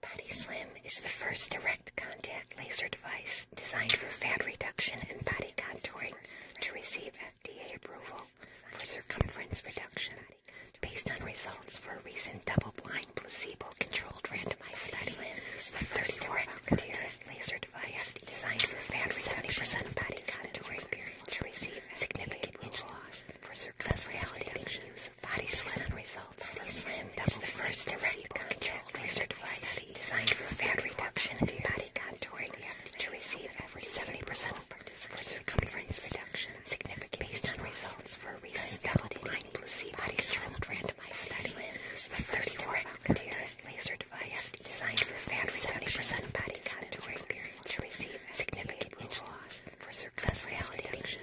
Body Slim is the first direct contact laser device designed for fat reduction and body contouring to receive FDA approval for circumference reduction based on results for a recent double-blind placebo-controlled randomized study. Slim the first direct contact laser device designed for fat 70% of body contouring to receive significant weight loss for circumference reduction Body slim results from slim double first direct contrast laser device study designed for fat reduction and body contouring to receive over 70% of participants for circumference reduction significant based on results for a recent double-blind body slim randomized study. first direct contrast laser device designed for fat reduction of body contouring to receive significant weight loss for circumference reduction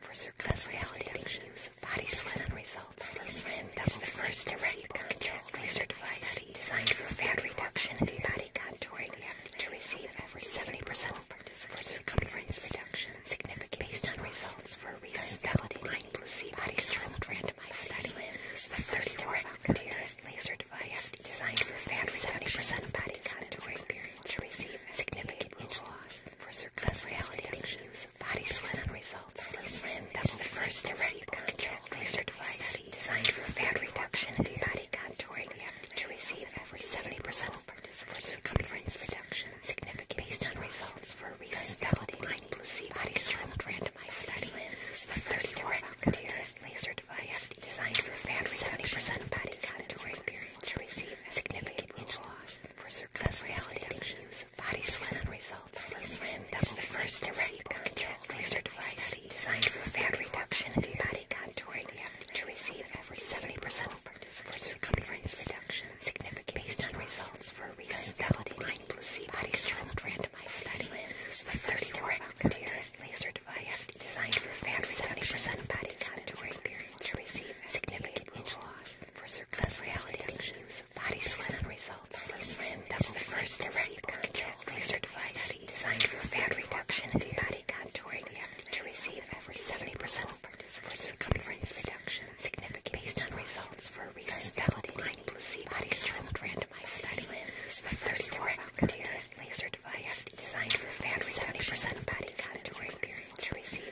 for surplus reality, the use of body slim results body slim is the first direct contact laser device study designed for fat reduction and body contouring to receive over 70% of for circumference reduction, significant based on results for a recent double-blind placebo-controlled randomized study. Is the first direct contact laser device designed for fat 70% of body contouring to receive significant weight loss for circumference reality dimensions. Body system results from slim is the first direct contact laser device designed for fat reduction and body contouring to receive over 70% of participants for circumference reduction. Significant based on results for a recent double-blind placebo-controlled randomized study. Slim is the first direct contact laser device designed for fat reduction 70% of body contouring to receive significant weight loss for circumference reality use body slim results. slim is the first direct contact laser device designed for fat reduction and body contouring to receive over 70% of participants for circumference reduction, significant based on results for a recent double-blind placebo body slim randomized study. Slim is the first direct contact laser device designed for fat reduction and body contouring to receive significant weight loss for circumference reduction. body slim results. slim is the first direct contact laser device designed for fat reduction and body contouring to receive over 70% for circumference reduction. Significant based on results for a recent double-blind placebo-body slim randomized study. Is the first direct contact laser device designed for fat 70% of body contouring to receive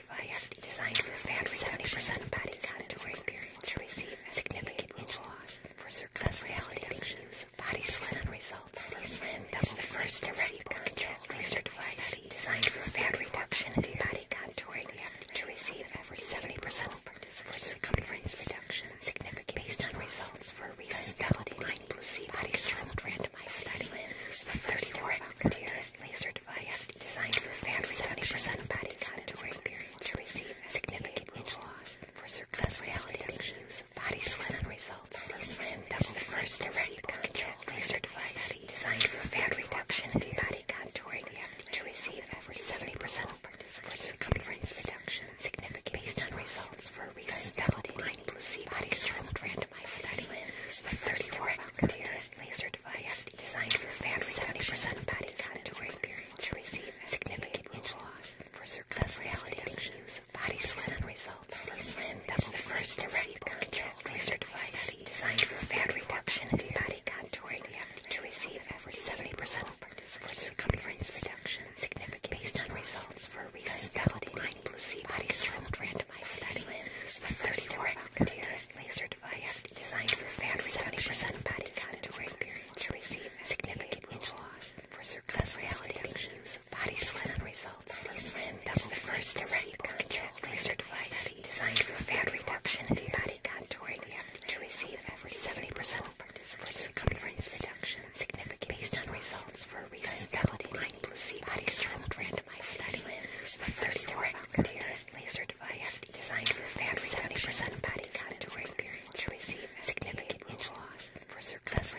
device designed for fat reduction of body fat to experience to receive significant weight loss for circumference reduction. Body Slim results. Body Slim is the first direct contact laser device designed for fat reduction and body contouring to receive over 70% of for circumference reduction. Significant based on results for a recent double-blind placebo-controlled randomized study. The first direct contact laser device designed for fair 70% of body to experience to receive significant weight loss for circumference reduction. Body slim results from slim is the first direct control laser device designed for fat reduction and body contouring to receive over 70% of for circumference reduction significant based on results for a recent double-blind placebo-controlled randomized study with 30 direct volunteers laser device designed for families 70% of bodies had during periods to receive significant itch loss for circumference reduction. Use of body slim results. Body slim double the first direct contact laser device designed for fat reduction and body contouring to receive over 70% of participants for circumference reduction. Significant based on results for a recent double-blind placebo-controlled randomized study. The first direct contact laser device designed for fat reduction of body fat to experience to receive significant weight loss for circumference reduction. Body Slim results. Body Slim is the first direct contact laser device designed for fat reduction and body contouring to receive over 70% of for circumference reduction. Significant based on results for a recent double-blind placebo-controlled randomized study. Is the first direct contact specialized laser device designed for families 70% of body categories to receive significant inch loss for circumference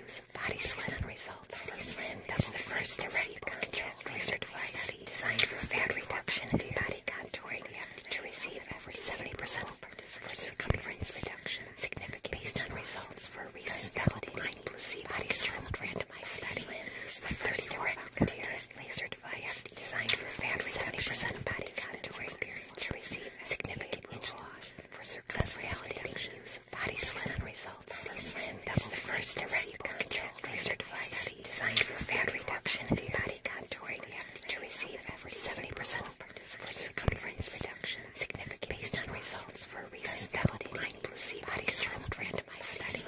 use of body slim results. Body slim is the first direct contact laser device designed for fat reduction and body contouring to receive over 70% of for circumference reduction significant based on results for a recent double-blind placebo-controlled recommend my study. It's the first direct contact laser device designed for family 70% of body contouring to receive significant weight loss for circumference reduction. Body slim results from slim double the first direct contact laser device designed for fat reduction and body contouring to receive over 70% of participants for circumference reduction significant based on results for a recent double blind placebo-controlled randomized study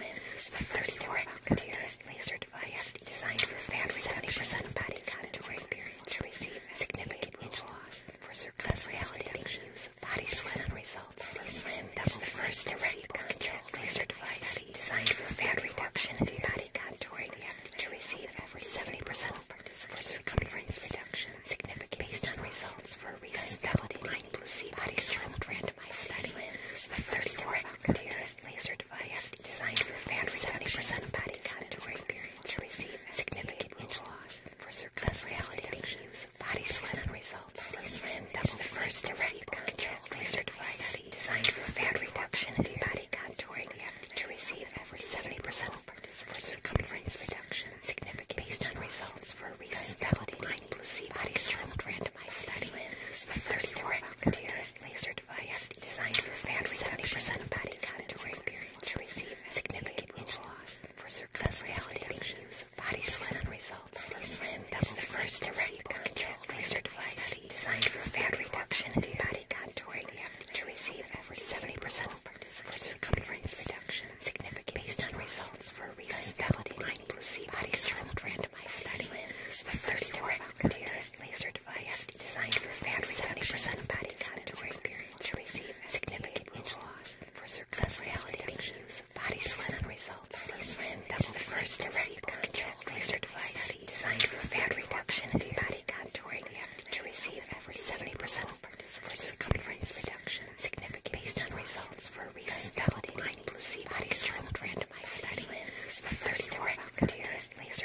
laser device designed for family 70% body contacts to receive significant weight loss for circumference use body slim results. Body slim the first direct controlled laser device designed for fat reduction and body contouring to receive over 70% for circumference reduction significant based on results for recent double-blind placebo-controlled randomized study of 30 direct volunteers laser device designed for fat. 70% of bodies to experience to receive significant itch loss for circumference use of body slim results from double the first direct controlled laser device designed for fat reduction and body contouring to receive over 70% of participants for circumference reduction significant based on results for a recent double-blind blind placebo-controlled randomized study of 34 volunteers laser device designed for families 70% of body category to receive significant weight loss for circumference reductions. Body Slim results. Body Slim is the first direct-controlled laser device study designed for fat reduction and body contouring to receive over 70% of participants for circumference reduction, significant based on results for a recent validated combined placebo-controlled randomized study the first direct laser device designed for fans 70% of body contouring periods receive significant inch loss for circumferential use of body slim results. Body slim is the first direct controlled laser device designed for fat reduction and body contouring to receive over 70% of participants for circumference reduction significant based on results for more recent double-blind laser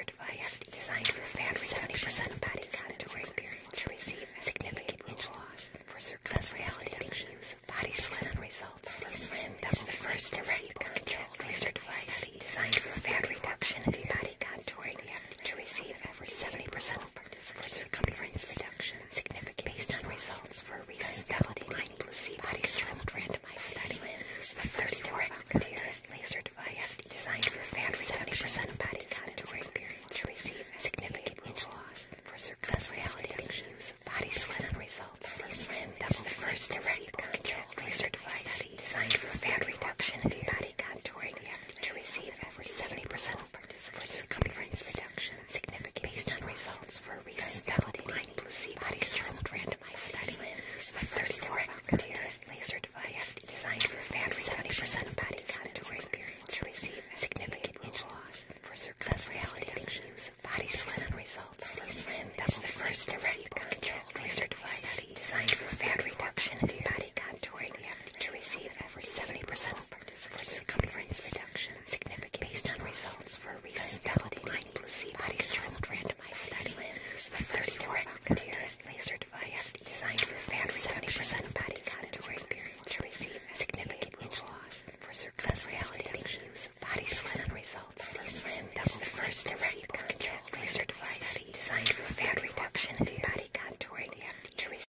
device designed for fat. 70% of body contour experience receive significant inch loss for circumference reduction use of body slim results from slim double the first direct controlled laser device designed for fat reduction and body contouring to receive over 70% for participants circumference reduction significant based on results for a recent double-blind placebo-controlled randomized study of 34 volunteers laser device designed for fat. 70% of body contouring experience to receive significant inch loss for circumference reduction use body slim results body slimmed double the first direct controlled laser device designed for fat reduction and body contouring to receive over 70% of for circumference reduction significant based on results for a recent double-blind placebo-controlled randomized study of 34 volunteers laser device designed for family 70% of body contouring to receive significant itch loss for surplus reality use of body slim results. Body slim is the first direct controlled laser device designed for fat reduction and body contouring to receive over 70% for circumference reduction significant based on results for a recent double-blind placebo-controlled randomized study of 34 volunteers laser device designed for fat 70% of body contouring to receive significant weight loss for circumference reduction. Body slim results for slim the first direct control laser device designed for fat reduction and body contouring to receive